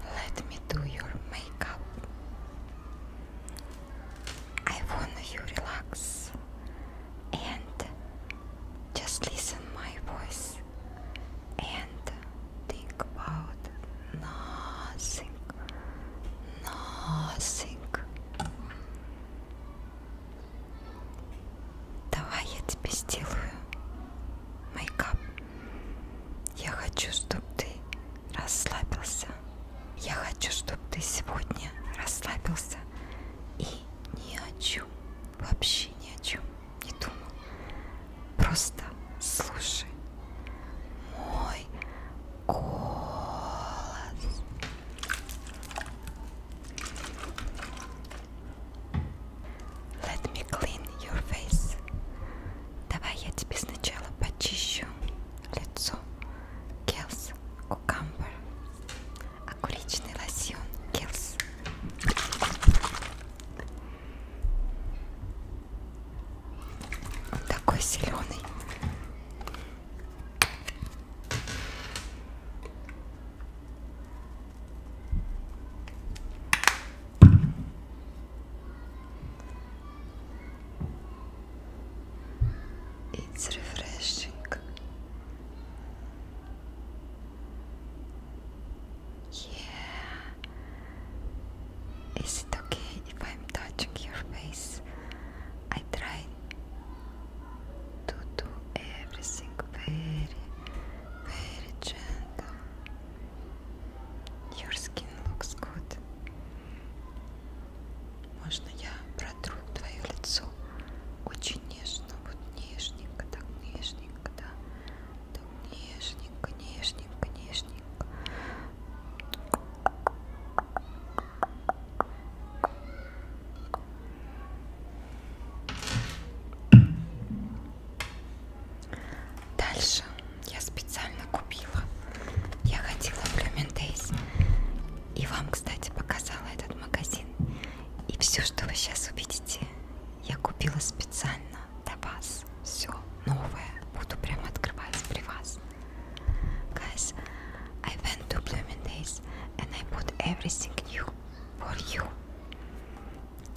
Let me do your makeup. I want you relax and just listen my voice and think about nothing. Nothing. Давай я тебе сделаю мейкап. Я хочу, чтобы ты расслабился. Я хочу, чтобы ты сегодня расслабился и ни о чем, вообще ни о чем не думал. Просто слушай мой голос. Let me clean your face. Давай я тебе сначала почищу лицо. Келс кукамбер. Огуречный лосьон. Келс. Он такой зеленый. It's refreshing. Yeah. Is it okay if I'm touching your face? I try to do everything very, very gentle. Your skin looks good. Можно я протру твое лицо? Очень нежно, вот нежненько, так нежненько, да. Так нежненько, нежненько, нежненько. Дальше я специально купила. Я ходила в Lumen Days. И вам, кстати, показала этот магазин. И все, что вы сейчас увидите, я купила специально для вас. Все новое. Буду прям открывать при вас. Guys, I went to Blooming Days and I bought everything new for you.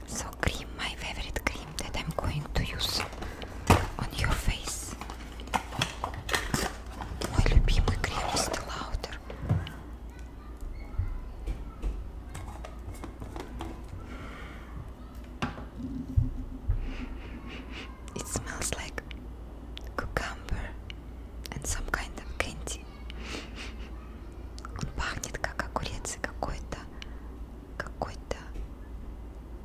So cream, my favorite cream that I'm going to use on your face. Мой любимый крем из Lauder. It smells like cucumber and some kind of candy. Он пахнет как огурец и какой-то, какой-то,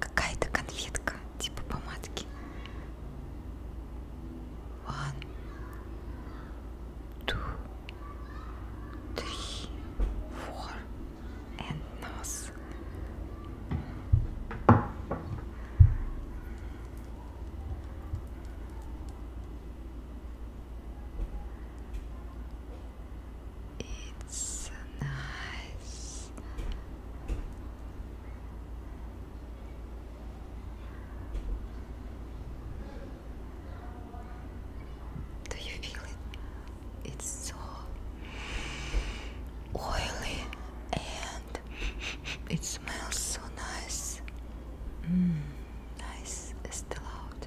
какая-то конфетка, типа помадки. One, two, three, four, and nose. It's nice. Do you feel it? It's so oily and it smells so nice. Mm, nice, still out.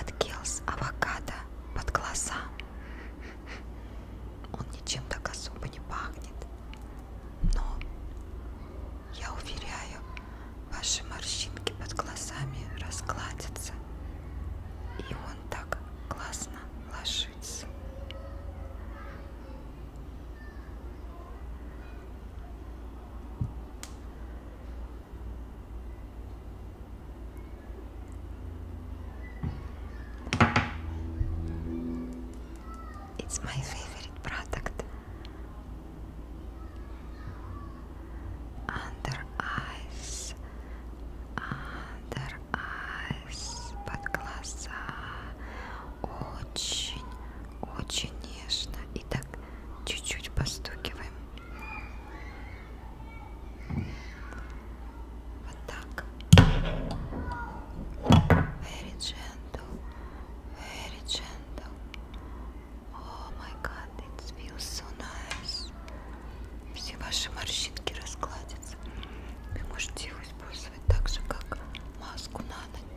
от Келс авокадо под глаза. Он ничем так особо не пахнет. Но, я уверяю, ваши морщинки под глазами разгладятся. И он так классно ложится. It's my favorite product. Under eyes, under eyes, под глаза, очень, очень нежно. И так чуть-чуть постукиваем. Вот так. Very gentle. Very gentle. Oh my god, it feels so nice. Все ваши морщинки раскладятся. Вы можете его использовать так же, как маску на ночь.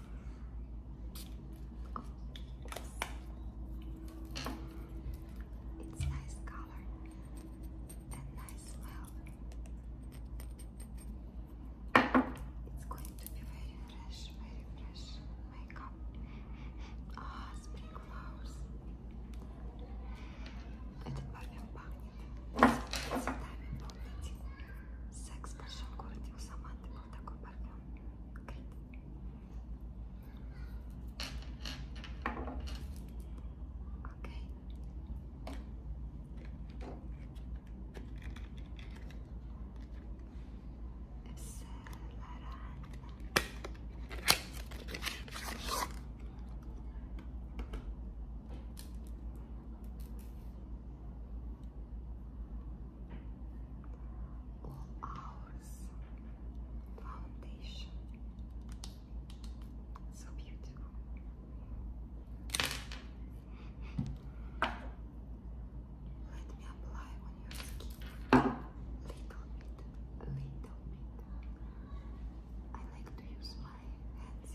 It's nice color and nice smell. It's going to be very fresh, very fresh makeup. oh, spring flowers. Этот парфюм пахнет цветами полноте. Секс в большом городе у Саманты был такой партнер. Окей. Все нормально. all hours foundation so beautiful let me apply on your skin little bit little bit I like to use my hands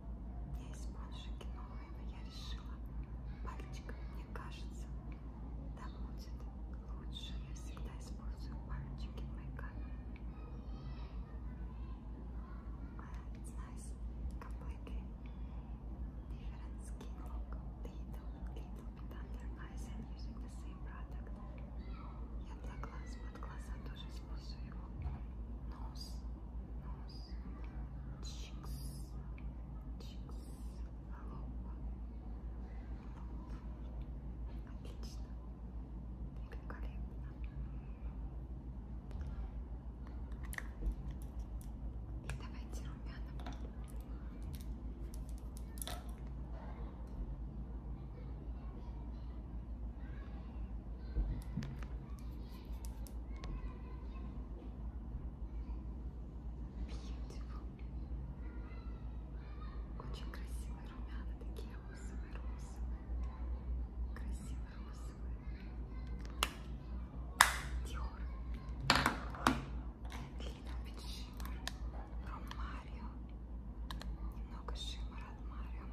У меня есть пончики новые, но я решила пальчиком. Мне кажется, там будет лучше. Я всегда использую пальчики в мейкапе. It's nice. Completely different skin look. Little, little bit under eyes and using the same product. Я для глаз под глаза тоже использую его. Нос, нос, чикс, чикс, лоб, лоб. Отлично, великолепно. И давайте румяна. Очень красивые румяна, такие розовые, розовые, красивые розовые. Диор, Лина Бит Шиммер, Ром Марио, немного шиммера от Марио.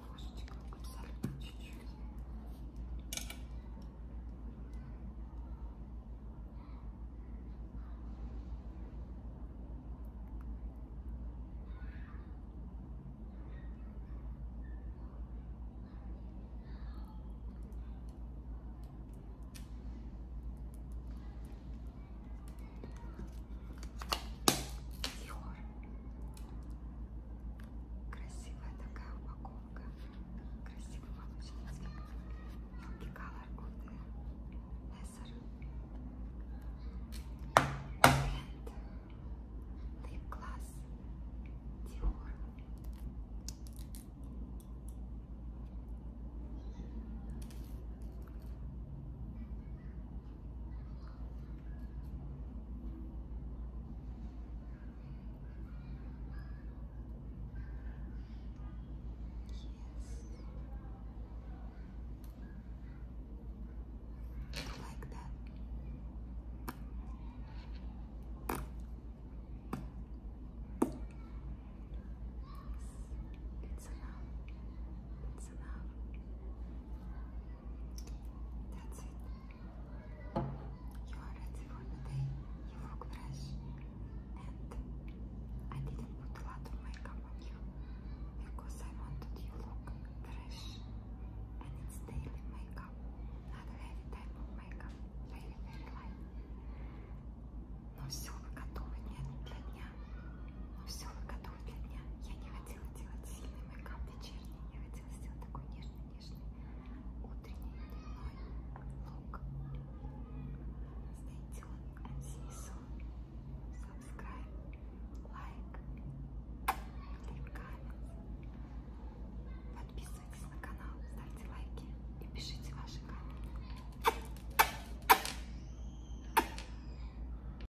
ложечкой, абсолютно чуть-чуть. Тихо. Красивая такая упаковка. Красивый молочный цвет. Мелкий колор от Лессер. Бренд. Лип Класс. Диор. Like that. It's enough. It's enough. That's it. You are ready for the You look fresh. And I didn't put a lot of makeup on you because I wanted you look fresh. And it's daily makeup, not heavy type of makeup, very, very light. Но все вы готовы нет, для дня. Но все вы готовы для дня. Я не хочу хотела делать сильный мейкап вечерний, я хотела сделать такой нежный-нежный утренний дневной лук. Stay tuned and see you soon. Subscribe, like, leave comments. Подписывайтесь на канал, ставьте лайки и пишите ваши комменты.